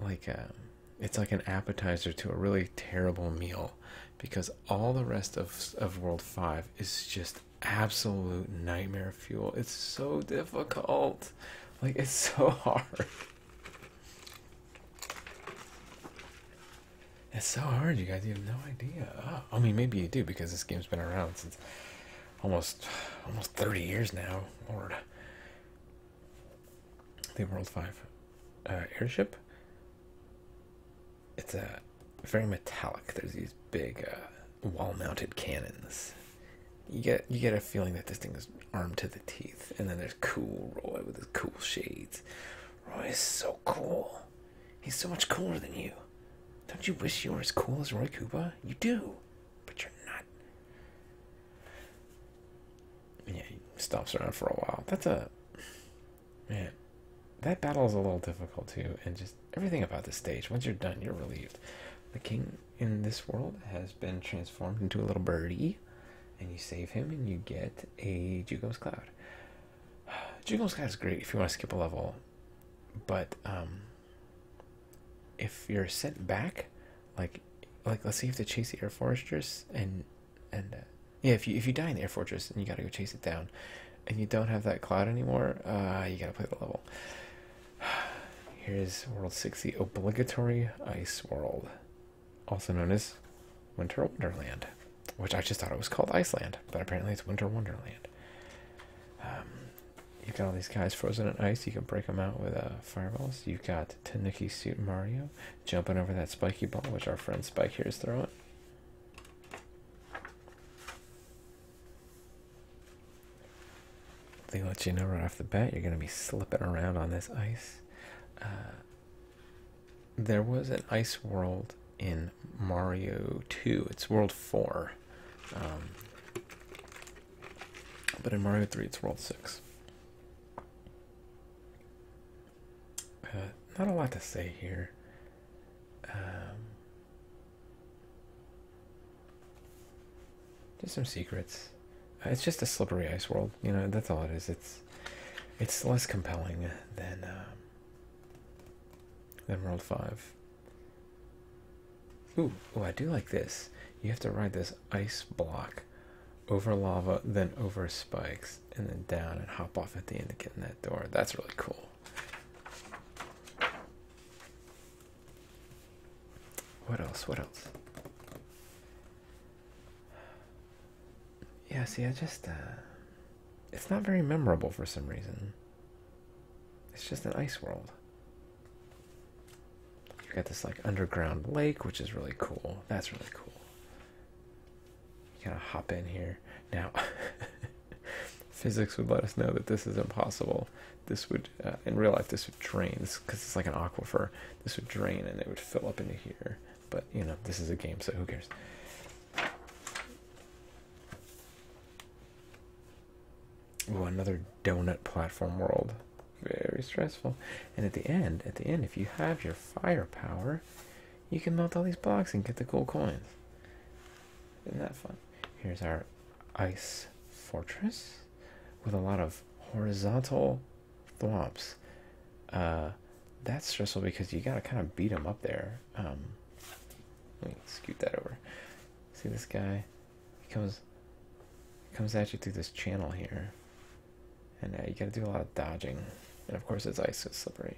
like a, um, it's like an appetizer to a really terrible meal because all the rest of, of World 5 is just absolute nightmare fuel. It's so difficult. Like it's so hard. It's so hard, you guys. You have no idea. Oh, I mean, maybe you do because this game's been around since almost almost 30 years now. Lord. The World 5 uh, airship. It's a very metallic. There's these big uh, wall-mounted cannons. You get you get a feeling that this thing is armed to the teeth. And then there's cool Roy with his cool shades. Roy is so cool. He's so much cooler than you. Don't you wish you were as cool as Roy Cuba? You do, but you're not. Yeah, he stomps around for a while. That's a man. That battle is a little difficult too, and just everything about the stage. Once you're done, you're relieved. The king in this world has been transformed into a little birdie, and you save him, and you get a Jugos Cloud. Jugos Cloud is great if you want to skip a level, but um, if you're sent back, like like let's see if have chase the air fortress and and uh, yeah, if you if you die in the air fortress and you got to go chase it down, and you don't have that cloud anymore, uh, you gotta play the level. Here's World 60 Obligatory Ice World, also known as Winter Wonderland, which I just thought it was called Iceland, but apparently it's Winter Wonderland. Um, you've got all these guys frozen in ice, you can break them out with uh, fireballs. You've got Tanuki Suit Mario jumping over that spiky ball, which our friend Spike here is throwing. They let you know right off the bat you're going to be slipping around on this ice. Uh, there was an ice world in Mario 2, it's World 4. Um, but in Mario 3, it's World 6. Uh, not a lot to say here. Um, just some secrets. Uh, it's just a slippery ice world, you know. That's all it is. It's it's less compelling than uh, than World Five. Ooh, oh, I do like this. You have to ride this ice block over lava, then over spikes, and then down, and hop off at the end to get in that door. That's really cool. What else? What else? Yeah, see, I just, uh, it's not very memorable for some reason. It's just an ice world. You got this, like, underground lake, which is really cool. That's really cool. You gotta hop in here. Now, Physics would let us know that this is impossible. This would, uh, in real life, this would drain because it's like an aquifer. This would drain and it would fill up into here. But you know, this is a game, so who cares? Ooh, another donut platform world. Very stressful. And at the end, at the end, if you have your firepower, you can melt all these blocks and get the gold coins. Isn't that fun? Here's our ice fortress with a lot of horizontal thwomps. Uh, that's stressful because you gotta kind of beat them up there. Um, let me scoot that over. See this guy? comes comes at you through this channel here, and uh, you gotta do a lot of dodging. And of course, it's ice, so slippery.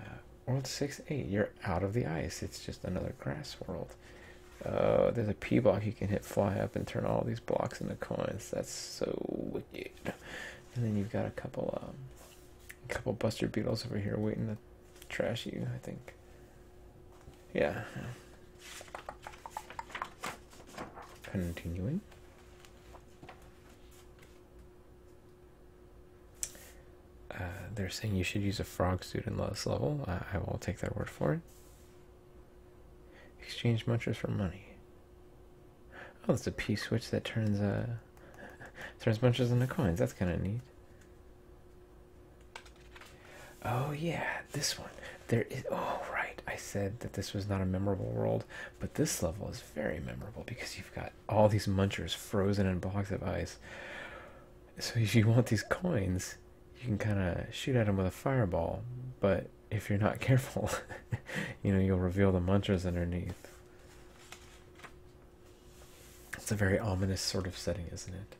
Uh, World 6 8, you're out of the ice. It's just another grass world. Uh, there's a P block you can hit fly up and turn all these blocks into coins. That's so wicked. And then you've got a couple um, a couple Buster Beetles over here waiting to trash you, I think. Yeah. Continuing. Uh, they're saying you should use a frog suit in this level. I will take their word for it. Exchange munchers for money. Oh, it's a P switch that turns uh turns munchers into coins. That's kind of neat. Oh yeah, this one. There is. Oh right, I said that this was not a memorable world, but this level is very memorable because you've got all these munchers frozen in blocks of ice. So if you want these coins, you can kind of shoot at them with a fireball, but if you're not careful, you know, you'll reveal the mantras underneath. It's a very ominous sort of setting, isn't it?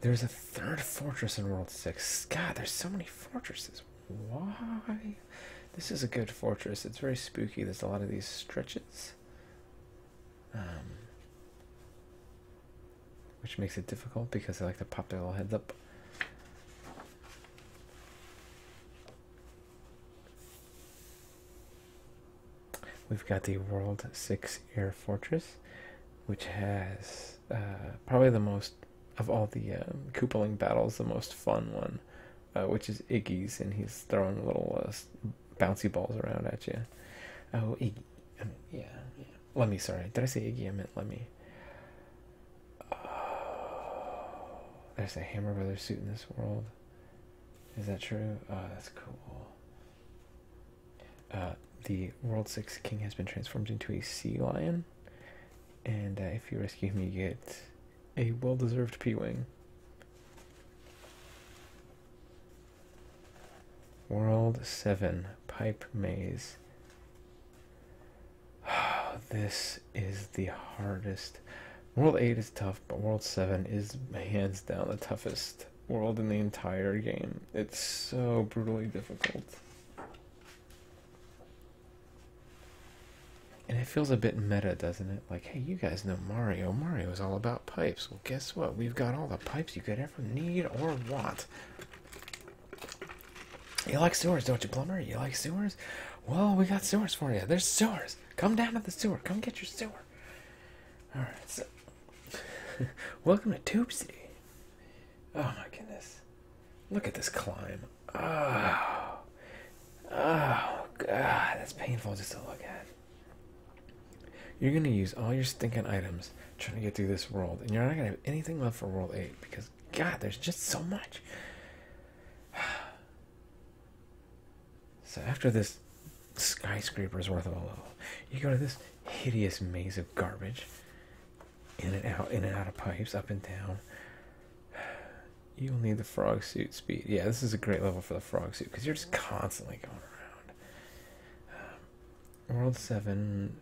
There's a third fortress in World 6. God, there's so many fortresses. Why? This is a good fortress. It's very spooky. There's a lot of these stretches. Um, which makes it difficult because they like to pop their little heads up. We've got the World 6 Air Fortress, which has uh, probably the most, of all the um, battles, the most fun one, uh, which is Iggy's, and he's throwing little uh, bouncy balls around at you. Oh, yeah, Let me, sorry. Did I say Iggy? I meant let me. Oh, there's a Hammer brother suit in this world. Is that true? Oh, that's cool. Uh, the World Six King has been transformed into a sea lion. And uh, if you rescue him, you get a well deserved P Wing. World 7 Pipe Maze. this is the hardest. World 8 is tough, but World 7 is hands down the toughest world in the entire game. It's so brutally difficult. And it feels a bit meta, doesn't it? Like, hey, you guys know Mario. Mario is all about pipes. Well, guess what? We've got all the pipes you could ever need or want. You like sewers, don't you, plumber? You like sewers? Well, we got sewers for you. There's sewers. Come down to the sewer. Come get your sewer. All right. So, welcome to Tube City. Oh my goodness! Look at this climb. Oh, oh God, that's painful just to look at. You're gonna use all your stinking items trying to get through this world, and you're not gonna have anything left for World 8 because, God, there's just so much. So, after this skyscraper's worth of a level, you go to this hideous maze of garbage in and out, in and out of pipes, up and down. You'll need the frog suit speed. Yeah, this is a great level for the frog suit because you're just constantly going around. Um, World 7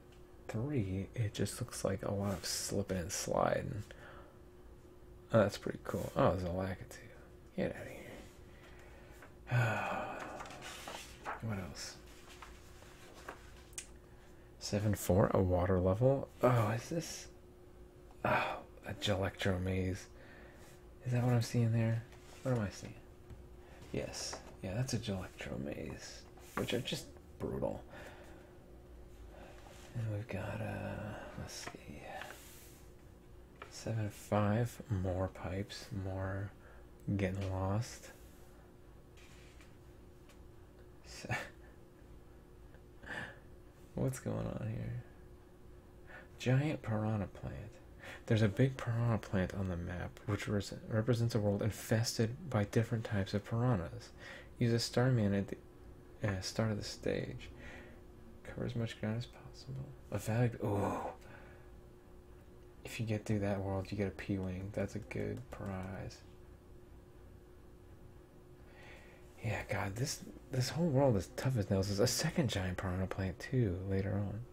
3, it just looks like a lot of slipping and sliding. Oh, that's pretty cool. Oh, there's a Lakitu. Get out of here. what else? 7 4, a water level. Oh, is this? Oh, a Gelectro Maze. Is that what I'm seeing there? What am I seeing? Yes. Yeah, that's a Gelectro Maze, which are just brutal. And we've got, uh, let's see, seven five more pipes, more getting lost. What's going on here? Giant piranha plant. There's a big piranha plant on the map, which represents a world infested by different types of piranhas. Use a starman at the start of the stage. Cover as much ground as possible. A valid. Oh! If you get through that world, you get a P Wing. That's a good prize. Yeah, God, this this whole world is tough as nails. There's a second giant piranha plant too later on.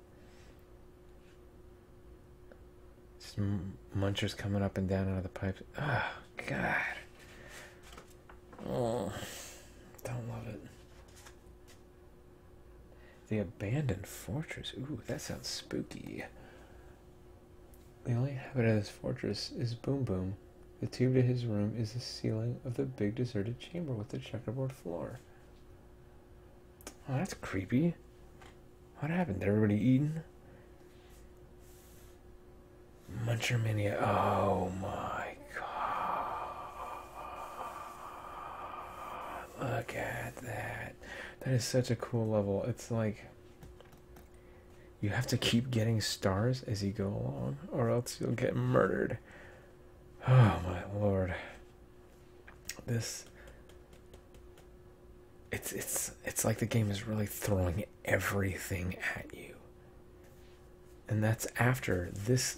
Some munchers coming up and down out of the pipes. Oh, God. Oh, don't love it. The abandoned fortress. Ooh, that sounds spooky. The only inhabitant of this fortress is Boom Boom. The tube to his room is the ceiling of the big deserted chamber with the checkerboard floor. Oh, that's creepy. What happened? to Everybody eating? Muncher Mania. Oh my god. Look at that. That is such a cool level. It's like you have to keep getting stars as you go along, or else you'll get murdered. Oh my lord. This it's it's it's like the game is really throwing everything at you. And that's after this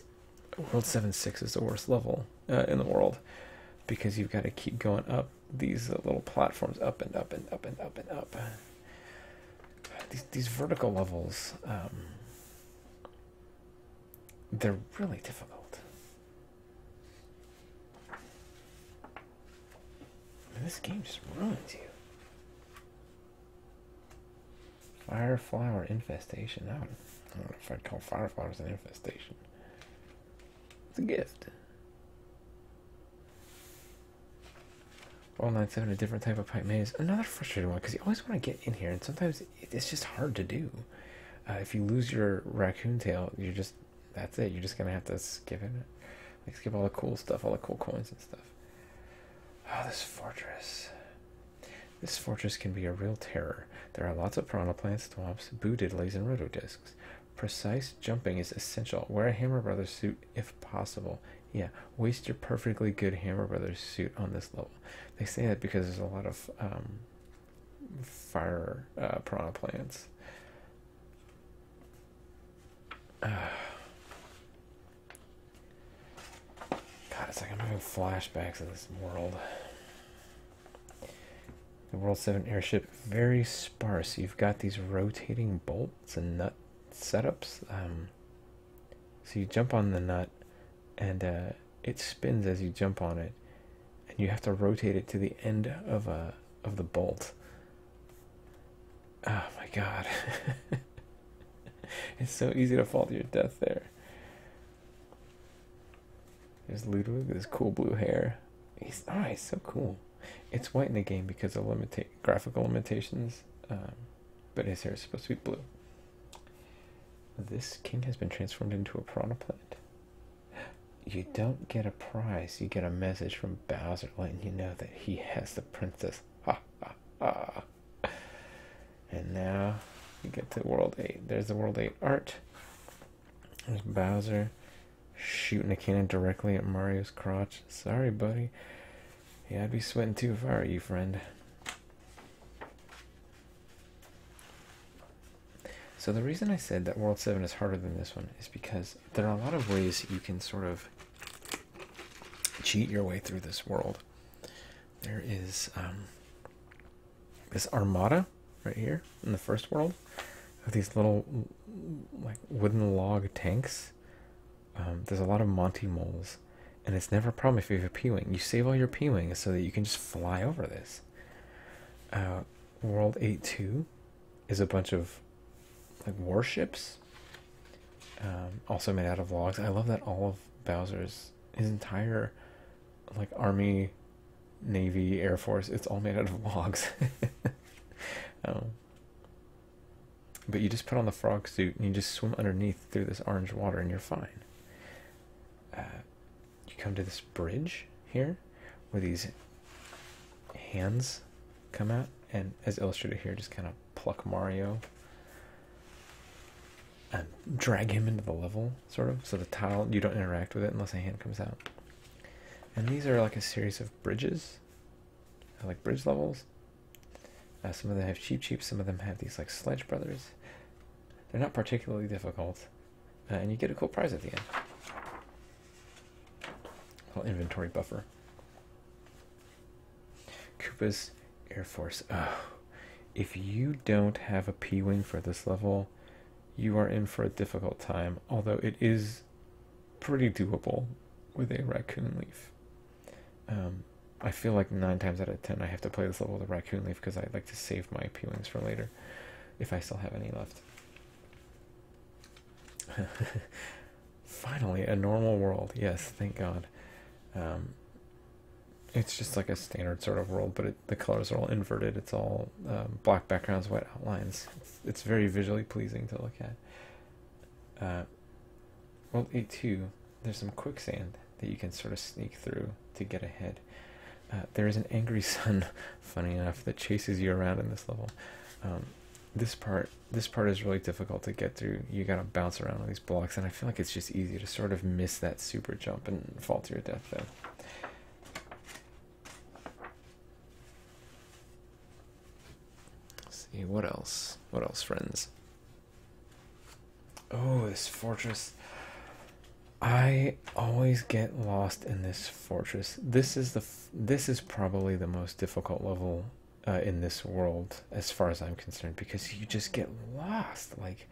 World 7-6 is the worst level uh, in the world because you've got to keep going up these uh, little platforms up and up and up and up and up. These, vertical levels um, they're really difficult. this game just ruins you. Fireflower infestation. I don't, know if I'd call fireflowers an infestation. It's a gift. 197 a different type of pipe maze. Another frustrating one because you always want to get in here and sometimes it's just hard to do. Uh, if you lose your raccoon tail, you're just that's it. You're just gonna have to skip it, skip all the cool stuff, all the cool coins and stuff. Oh, this fortress. This fortress can be a real terror. There are lots of prana plants, swamps, lasers, and rotodiscs. Precise jumping is essential. Wear a Hammer brother suit if possible. Yeah, waste your perfectly good Hammer brother suit on this level. They say that because there's a lot of um, fire uh, prana plants. God, it's like I'm having flashbacks of this world. The World 7 airship, very sparse. You've got these rotating bolts and nut setups. Um, so you jump on the nut and uh, it spins as you jump on it, and you have to rotate it to the end of a of the bolt. Ah, my god. it's so easy to fall to your death there. There's Ludwig with his cool blue hair. He's oh, so cool. It's white in the game because of limita graphical limitations, um, but his hair is supposed to be blue. This king has been transformed into a piranha plant. You don't get a prize, you get a message from Bowser letting you know that he has the princess. Ha ha ha. And now you get to World 8. There's the World 8 art. There's Bowser shooting a cannon directly at Mario's crotch. Sorry, buddy. Yeah, I'd be sweating too if I were you, friend. So the reason I said that World 7 is harder than this one is because there are a lot of ways you can sort of cheat your way through this world. There is um, this armada right here in the first world of these little like wooden log tanks. Um, there's a lot of Monty moles, and it's never a problem if you have a P-wing. You save all your P-wings so that you can just fly over this. Uh, World 8-2 is a bunch of like warships, um, also made out of logs. I love that all of Bowser's his entire like army, navy, air force. It's all made out of logs. um, but you just put on the frog suit and you just swim underneath through this orange water and you're fine. Uh, you come to this bridge here where these hands come out and as illustrated here just kind of pluck Mario and drag him into the level sort of so the tile you don't interact with it unless a hand comes out. And these are like a series of bridges. like bridge levels. Uh, some of them have cheap cheap, some of them have these like sledge brothers. They're not particularly difficult. Uh, and you get a cool prize at the end. Little inventory buffer. Koopa's Air Force. Oh, if you don't have a P Wing for this level, you are in for a difficult time, although it is pretty doable with a raccoon leaf. Um, I feel like nine times out of ten I have to play this level with a raccoon leaf because I like to save my P wings for later if I still have any left. Finally, a normal world. Yes, thank God. Um, it's just like a standard sort of world, but the colors are all inverted. It's all um, black backgrounds, white outlines. It's, very visually pleasing to look at. Uh, well, world 8 2, there's some quicksand that you can sort of sneak through to get ahead. Uh, there is an angry sun, funny enough, that chases you around in this level. Um, this part, this part is really difficult to get through. You gotta bounce around on these blocks, and I feel like it's just easy to sort of miss that super jump and fall to your death there. Let's see what else? What else, friends? Oh, this fortress. I always get lost in this fortress. This is the this is probably the most difficult level uh, in this world, as far as I'm concerned, because you just get lost. Like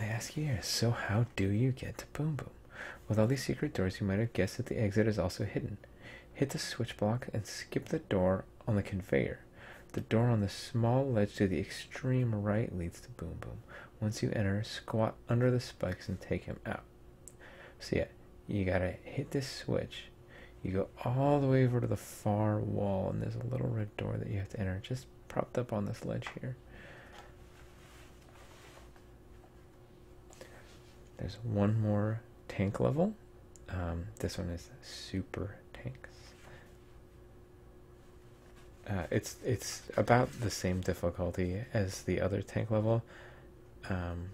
I ask you here, so how do you get to Boom Boom? With all these secret doors, you might have guessed that the exit is also hidden. Hit the switch block and skip the door on the conveyor. The door on the small ledge to the extreme right leads to Boom Boom. Once you enter, squat under the spikes and take him out. So, yeah, you gotta hit this switch. You go all the way over to the far wall, and there's a little red door that you have to enter, just propped up on this ledge here. There's one more tank level. Um, this one is super tanks. Uh, it's it's about the same difficulty as the other tank level. Um,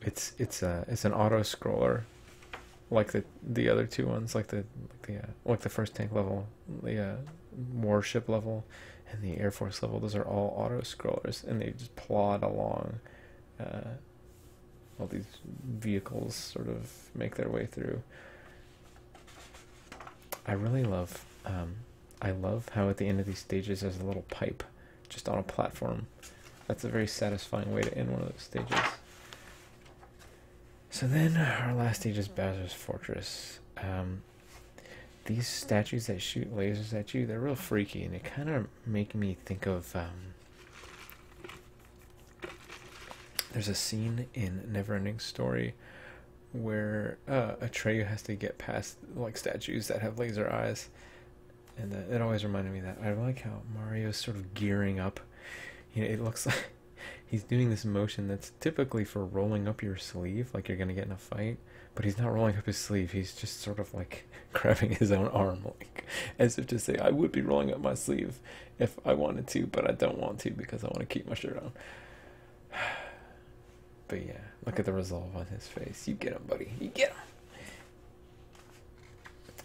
it's it's a it's an auto scroller, like the the other two ones, like the like the uh, first tank level, the uh, warship level, and the air force level. Those are all auto scrollers, and they just plod along, all these vehicles sort of make their way through. I really love um, I love how at the end of these stages there's a little pipe just on a platform. That's a very satisfying way to end one of those stages. So then our last stage is Bowser's Fortress. Um, these statues that shoot lasers at you, they're real freaky and they kind of make me think of um, there's a scene in Neverending Story where uh, Atreyu has to get past like statues that have laser eyes, and it always reminded me that I like how Mario's sort of gearing up. You know, it looks like he's doing this motion that's typically for rolling up your sleeve, like you're gonna get in a fight. But he's not rolling up his sleeve. He's just sort of like grabbing his own arm, like as if to say, "I would be rolling up my sleeve," if I wanted to, but I don't want to because I want to keep my shirt on. But yeah, look at the resolve on his face. You get him, buddy. You get him.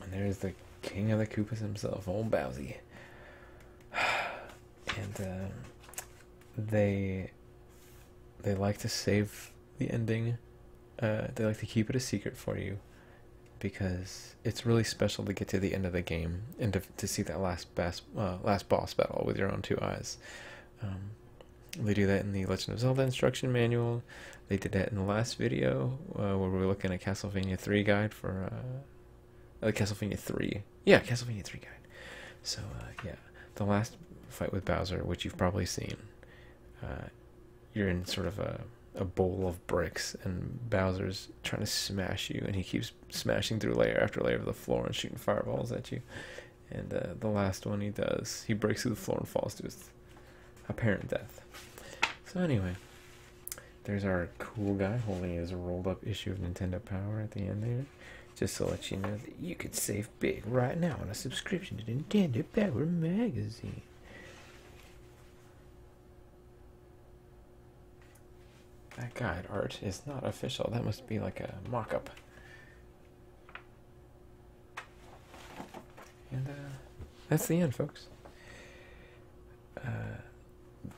And there's the king of the Koopas himself, old Bowsy. And um, they they like to save the ending. Uh, they like to keep it a secret for you because it's really special to get to the end of the game and to to see that last uh, last boss battle with your own two eyes. Um, they do that in the Legend of Zelda instruction manual. They did that in the last video uh, where we were looking at Castlevania Three guide for the uh, uh, Castlevania Three. Yeah, Castlevania Three guide. So yeah, the last fight with Bowser, which you've probably seen, you're in sort of a a bowl of bricks and Bowser's trying to smash you and he keeps smashing through layer after layer of the floor and shooting fireballs at you. And uh, the last one he does, he breaks through the floor and falls to apparent death. So anyway, there's our cool guy holding his rolled up issue of Nintendo Power at the end there. Just to let you know that you could save big right now on a subscription to Nintendo Power Magazine. That guide art is not official. That must be like a mock up. And uh, that's the end, folks. Uh,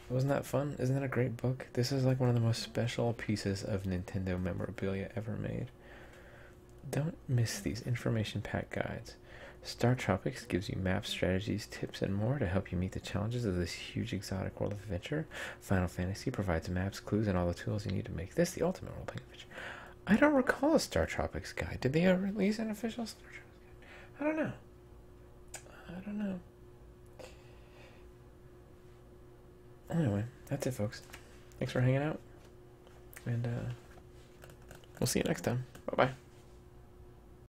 wasn't that fun? Isn't that a great book? This is like one of the most special pieces of Nintendo memorabilia ever made. Don't miss these information pack guides. Star Tropics gives you maps, strategies, tips, and more to help you meet the challenges of this huge exotic world of adventure. Final Fantasy provides maps, clues, and all the tools you need to make this the ultimate role playing adventure. I don't recall a Star Tropics guide. Did they release an official Star Tropics guide? I don't know. I don't know. Anyway, that's it, folks. Thanks for hanging out. And uh, we'll see you next time. Bye bye.